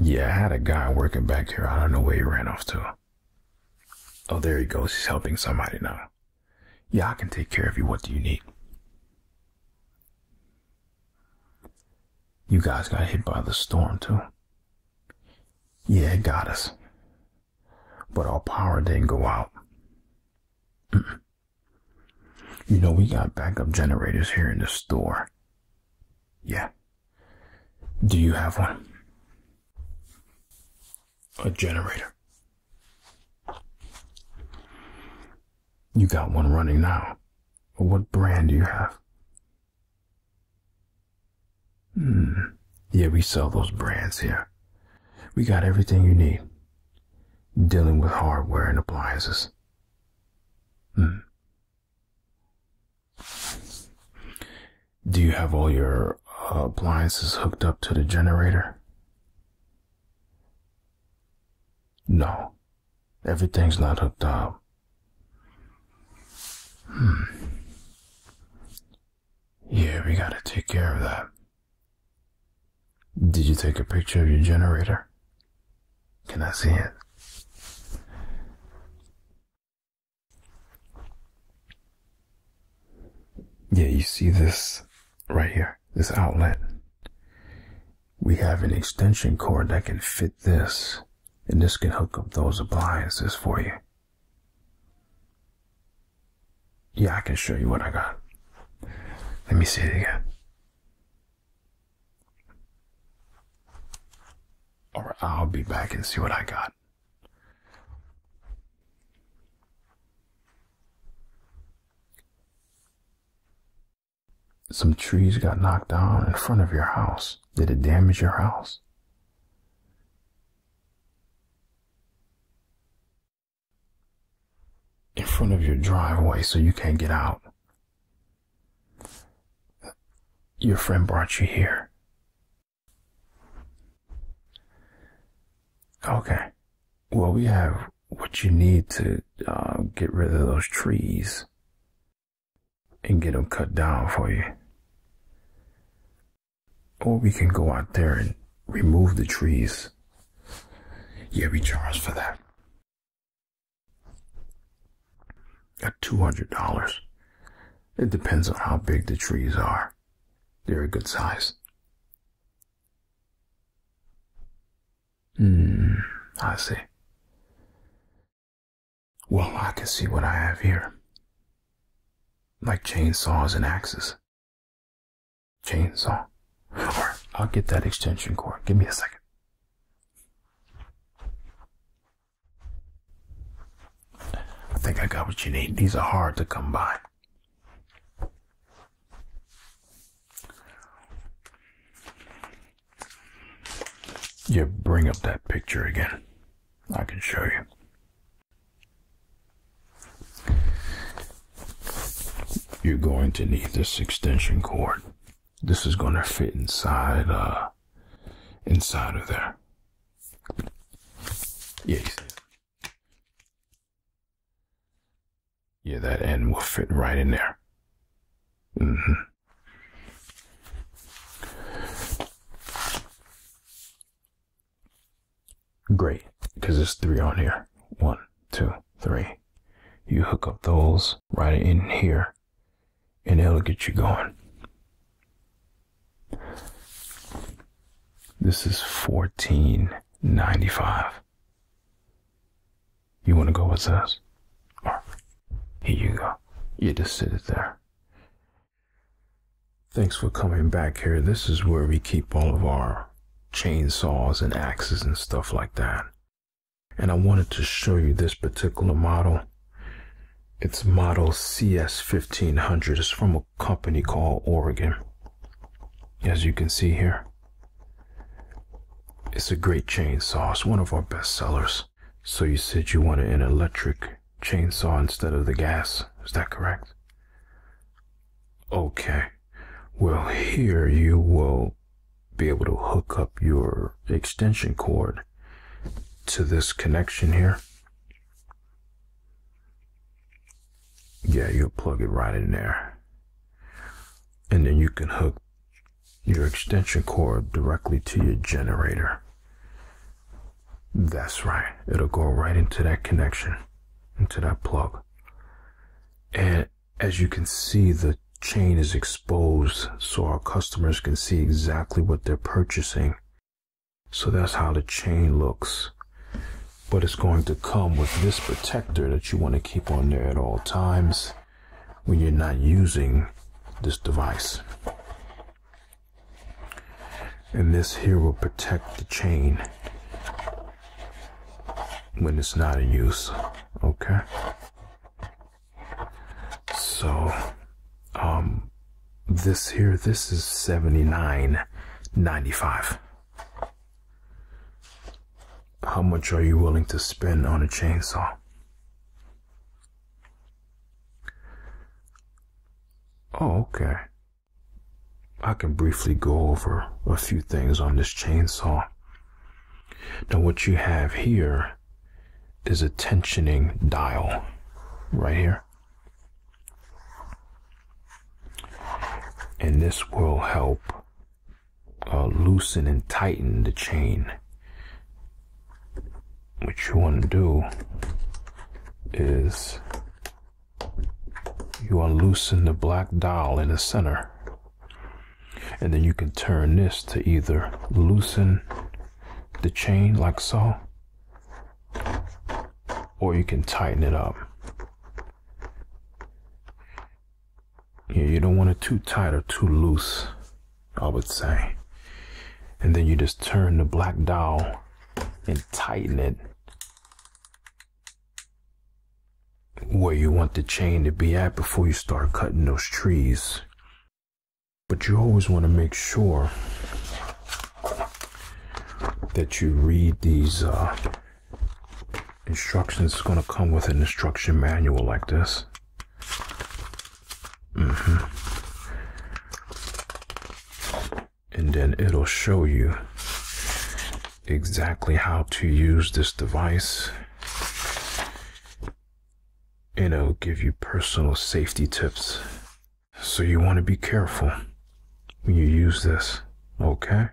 Yeah, I had a guy working back here. I don't know where he ran off to. Oh, there he goes. He's helping somebody now. Yeah, I can take care of you. What do you need? You guys got hit by the storm, too. Yeah, it got us. But our power didn't go out. You know, we got backup generators here in the store. Yeah. Do you have one? A generator. You got one running now. What brand do you have? Hmm. Yeah, we sell those brands here. We got everything you need dealing with hardware and appliances. Hmm. Do you have all your uh, appliances hooked up to the generator? No. Everything's not hooked up. Hmm. Yeah, we gotta take care of that. Did you take a picture of your generator? Can I see it? Yeah, you see this right here, this outlet. We have an extension cord that can fit this, and this can hook up those appliances for you. Yeah, I can show you what I got. Let me see it again. Or I'll be back and see what I got. Some trees got knocked down in front of your house. Did it damage your house? in front of your driveway so you can't get out. Your friend brought you here. Okay. Well, we have what you need to uh, get rid of those trees and get them cut down for you. Or we can go out there and remove the trees. Yeah, we charge for that. Got $200. It depends on how big the trees are. They're a good size. Hmm, I see. Well, I can see what I have here. Like chainsaws and axes. Chainsaw. Alright, I'll get that extension cord. Give me a second. I think I got what you need. These are hard to come by. You bring up that picture again. I can show you. You're going to need this extension cord. This is going to fit inside, uh, inside of there. Yeah, yeah, that end will fit right in there. Mm -hmm. Great, because there's three on here. One, two, three. You hook up those right in here, and it'll get you going. This is fourteen ninety-five. You want to go with us? Here you go. You just sit it there. Thanks for coming back here. This is where we keep all of our chainsaws and axes and stuff like that. And I wanted to show you this particular model. It's model CS1500. It's from a company called Oregon. As you can see here, it's a great chainsaw. It's one of our best sellers. So you said you wanted an electric chainsaw instead of the gas. Is that correct? Okay. Well, here you will be able to hook up your extension cord to this connection here. Yeah, you'll plug it right in there. And then you can hook your extension cord directly to your generator. That's right. It'll go right into that connection into that plug. And as you can see, the chain is exposed so our customers can see exactly what they're purchasing. So that's how the chain looks. But it's going to come with this protector that you want to keep on there at all times when you're not using this device. And this here will protect the chain when it's not in use. Okay. So, um, this here, this is seventy nine ninety five. How much are you willing to spend on a chainsaw? Oh, okay. I can briefly go over a few things on this chainsaw. Now what you have here is a tensioning dial right here. And this will help uh, loosen and tighten the chain. What you want to do is you unloosen the black dial in the center. And then you can turn this to either loosen the chain like so, or you can tighten it up. Yeah, you don't want it too tight or too loose, I would say. And then you just turn the black dial and tighten it where you want the chain to be at before you start cutting those trees. But you always want to make sure that you read these uh, instructions. It's going to come with an instruction manual like this. Mm-hmm and then it'll show you exactly how to use this device and it'll give you personal safety tips. So you want to be careful when you use this, okay?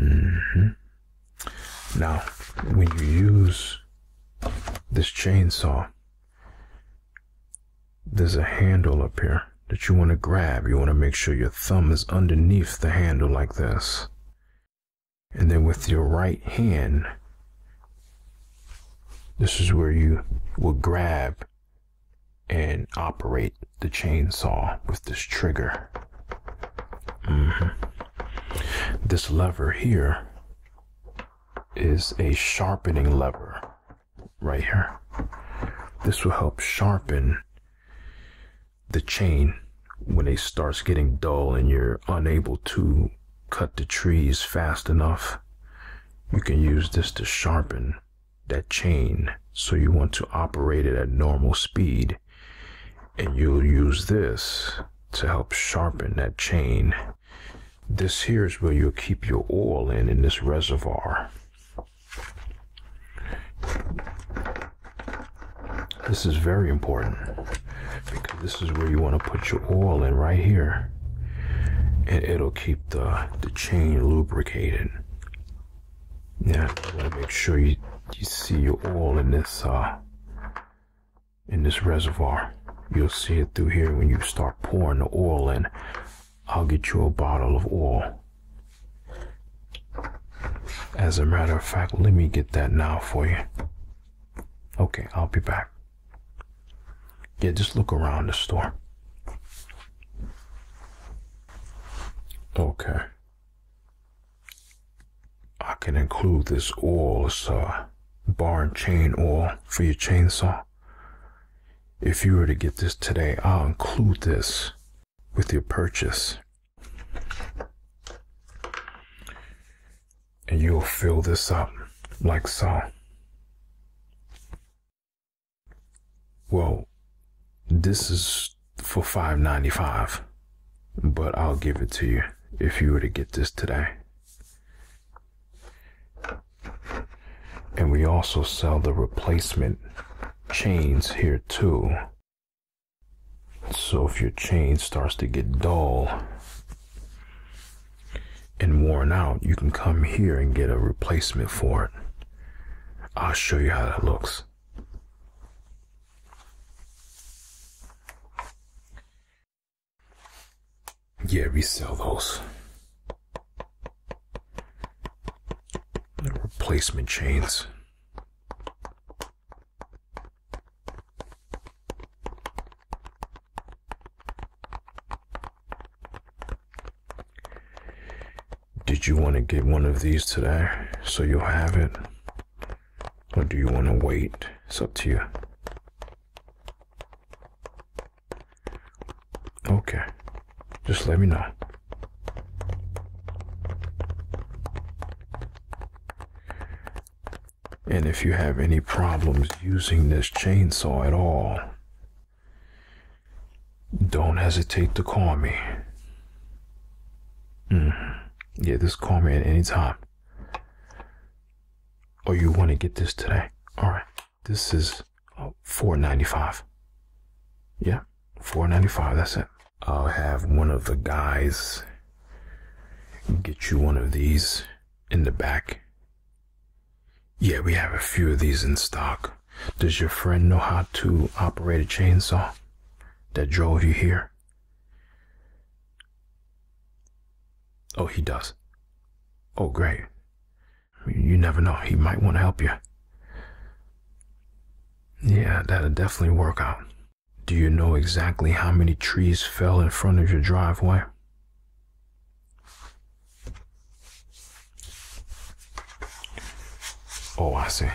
Mm-hmm. Now, when you use this chainsaw, there's a handle up here that you want to grab. You want to make sure your thumb is underneath the handle like this. And then with your right hand, this is where you will grab and operate the chainsaw with this trigger. Mm-hmm. This lever here is a sharpening lever right here. This will help sharpen the chain when it starts getting dull and you're unable to cut the trees fast enough. You can use this to sharpen that chain so you want to operate it at normal speed and you'll use this to help sharpen that chain. This here is where you'll keep your oil in, in this reservoir. This is very important because this is where you want to put your oil in right here. And it'll keep the, the chain lubricated. Yeah, I want to make sure you, see your oil in this, uh, in this reservoir. You'll see it through here when you start pouring the oil in. I'll get you a bottle of oil. As a matter of fact, let me get that now for you. Okay, I'll be back. Yeah, just look around the store. Okay. I can include this oil, it's a uh, bar and chain oil for your chainsaw. If you were to get this today, I'll include this with your purchase. And you'll fill this up like so. Well, this is for five ninety five, but I'll give it to you if you were to get this today. And we also sell the replacement chains here too. So if your chain starts to get dull and worn out, you can come here and get a replacement for it. I'll show you how that looks. Yeah, we sell those. replacement chains. Did you want to get one of these today so you'll have it? Or do you want to wait? It's up to you. Okay. Just let me know. And if you have any problems using this chainsaw at all, don't hesitate to call me. Mm. Yeah, just call me at any time. Or oh, you want to get this today. All right. This is uh, four ninety five. Yeah, four ninety five. That's it. I'll have one of the guys get you one of these in the back. Yeah, we have a few of these in stock. Does your friend know how to operate a chainsaw that drove you here? Oh, he does. Oh, great. You never know. He might want to help you. Yeah, that'll definitely work out. Do you know exactly how many trees fell in front of your driveway? Oh, I see.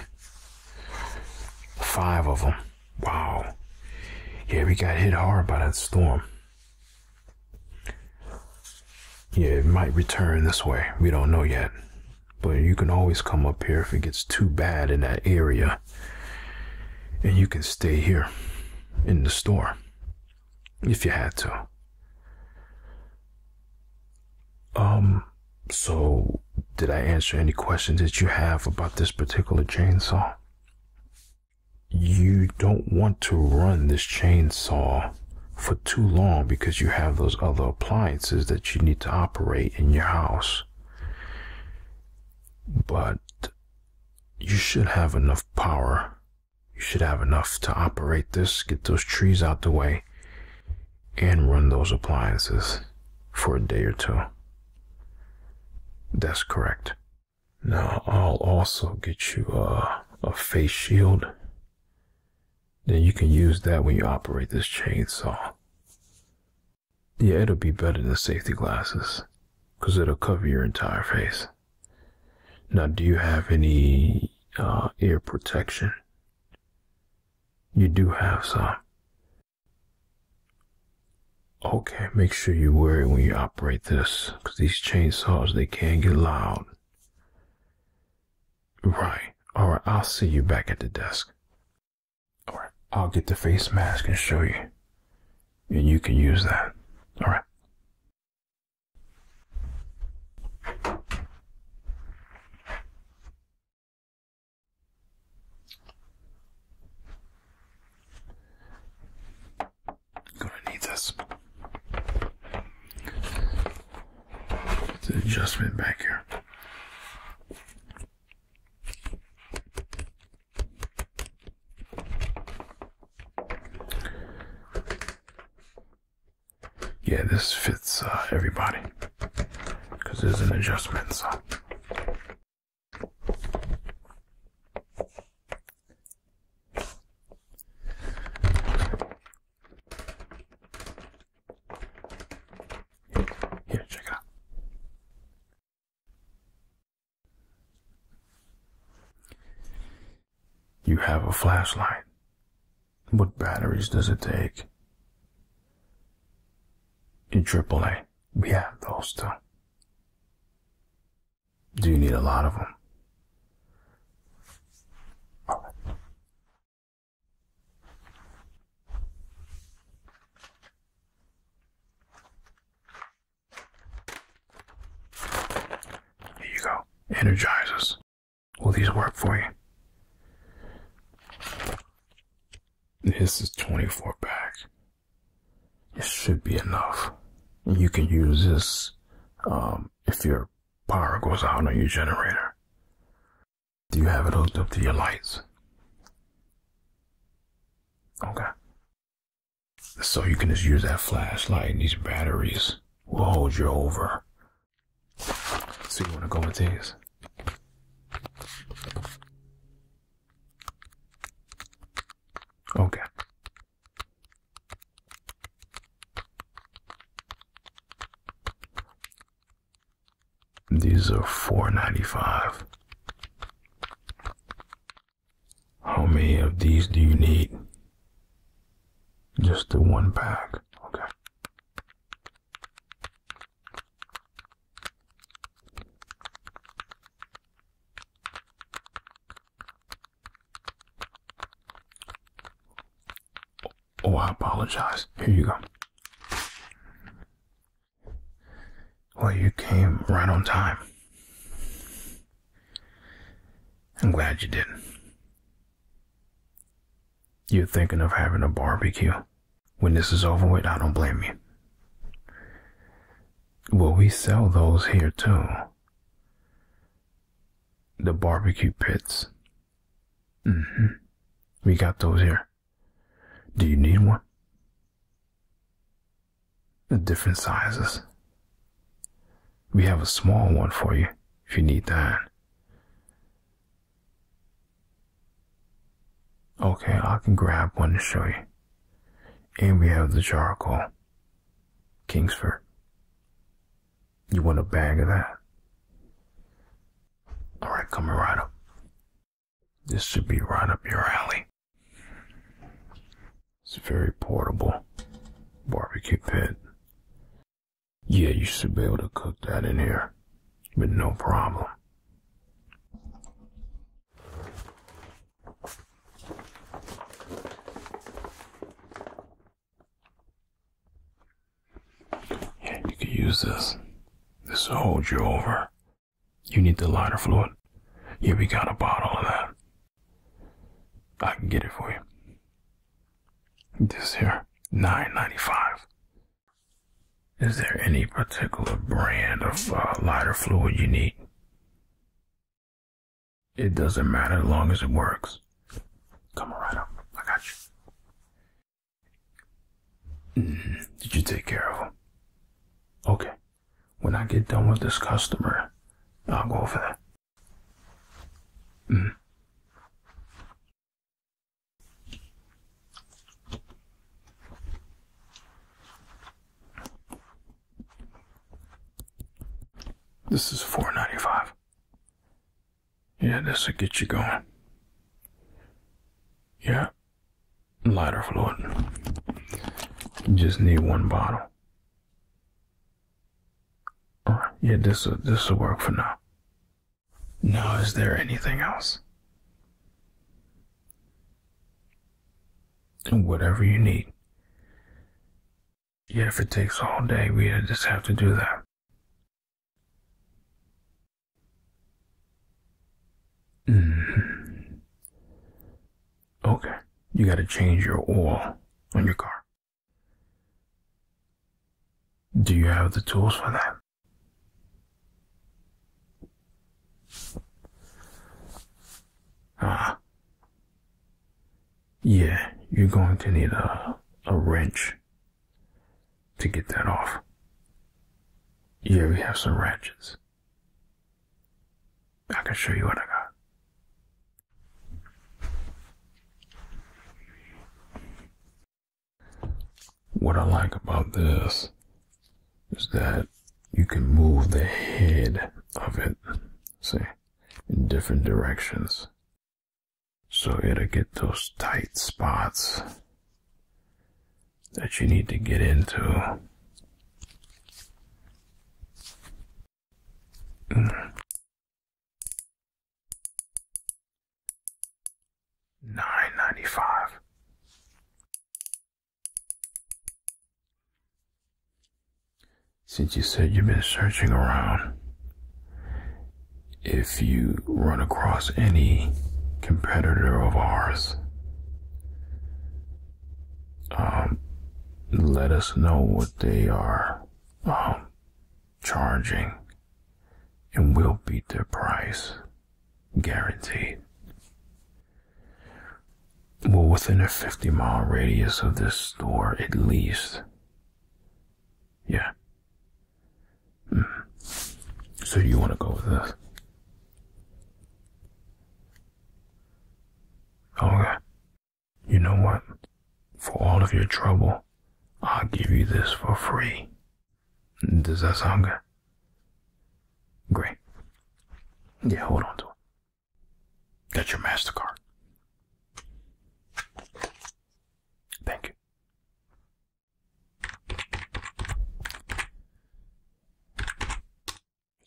Five of them. Wow. Yeah, we got hit hard by that storm. Yeah, it might return this way. We don't know yet. But you can always come up here if it gets too bad in that area. And you can stay here in the store if you had to. Um, so did I answer any questions that you have about this particular chainsaw? You don't want to run this chainsaw for too long because you have those other appliances that you need to operate in your house. But you should have enough power. You should have enough to operate this, get those trees out the way, and run those appliances for a day or two. That's correct. Now I'll also get you a, a face shield. Then you can use that when you operate this chainsaw. Yeah, it'll be better than safety glasses because it'll cover your entire face. Now, do you have any uh, ear protection? You do have some. Okay, make sure you wear it when you operate this, because these chainsaws, they can get loud. Right. Alright, I'll see you back at the desk. Alright, I'll get the face mask and show you. And you can use that. Alright. Gonna need this. It's an adjustment back here yeah, this fits uh, everybody because there's an adjustment. So. Here, check out. You have a flashlight. What batteries does it take? In AAA, we have those too. Do you need a lot of them? Here you go. Energizes. Will these work for you? This is 24 packs. This should be enough. You can use this um, if your power goes out on your generator. Do you have it hooked up to your lights? Okay. So you can just use that flashlight and these batteries We'll hold you over. So you want to go with these? Okay. These are four ninety five. How many of these do you need? Just the one bag. Okay. Oh, I apologize. Here you go. Well, you came right on time. I'm glad you did. You're thinking of having a barbecue. When this is over with, I don't blame you. Well, we sell those here too. The barbecue pits. Mm-hmm. We got those here. Do you need one? The different sizes. We have a small one for you if you need that. Okay, I can grab one to show you. And we have the charcoal. Kingsford. You want a bag of that? Alright, coming right up. This should be right up your alley. It's a very portable barbecue pit. Yeah, you should be able to cook that in here, but no problem. Yeah, you could use this. This will hold you over. You need the lighter fluid? Yeah, we got a bottle of that. I can get it for you. This here, nine ninety five. Is there any particular brand of uh, lighter fluid you need? It doesn't matter as long as it works. Come right up. I got you. Mm-hmm. did you take care of him? Okay. When I get done with this customer, I'll go over there. Mm. This is four ninety five. Yeah, this will get you going. Yeah, lighter fluid. just need one bottle yeah, this will, this will work for now. Now, is there anything else? Whatever you need. Yeah, if it takes all day, we just have to do that. Mm-hmm. Okay, you gotta change your oil on your car. Do you have the tools for that? Ah. Yeah, you're going to need a, a wrench to get that off. Yeah, we have some ratchets. I can show you what I got. What I like about this is that you can move the head of it, see, in different directions. So it'll get those tight spots that you need to get into. Nine ninety five. Since you said you've been searching around, if you run across any competitor of ours, um, let us know what they are um, charging, and we'll beat their price, guaranteed. Well, within a 50 mile radius of this store, at least. Yeah. Hmm. So you want to go with this? Okay. You know what? For all of your trouble, I'll give you this for free. Does that sound good? Great. Yeah, hold on to it. That's your MasterCard. Thank you.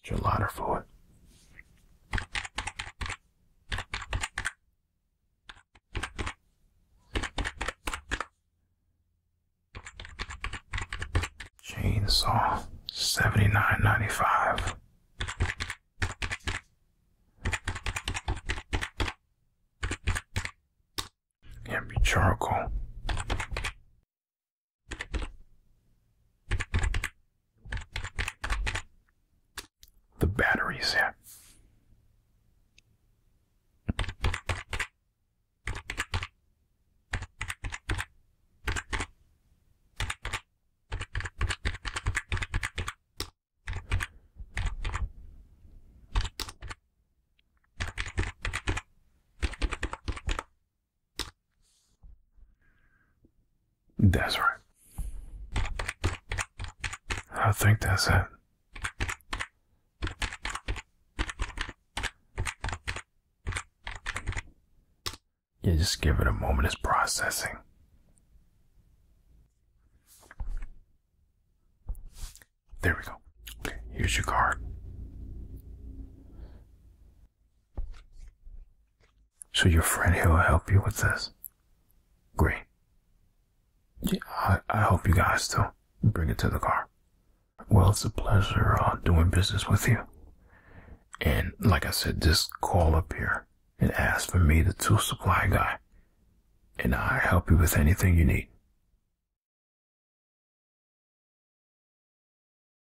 Get your lighter for it. Chainsaw, seventy nine ninety five. Can be charcoal. The battery's here. That's right. I think that's it. Yeah, just give it a moment, it's processing. There we go. Okay, here's your card. So your friend here will help you with this? Great. Yeah, I, I hope you guys do. Bring it to the car. Well, it's a pleasure uh, doing business with you. And like I said, just call up here and ask for me, the tool supply guy. And I'll help you with anything you need.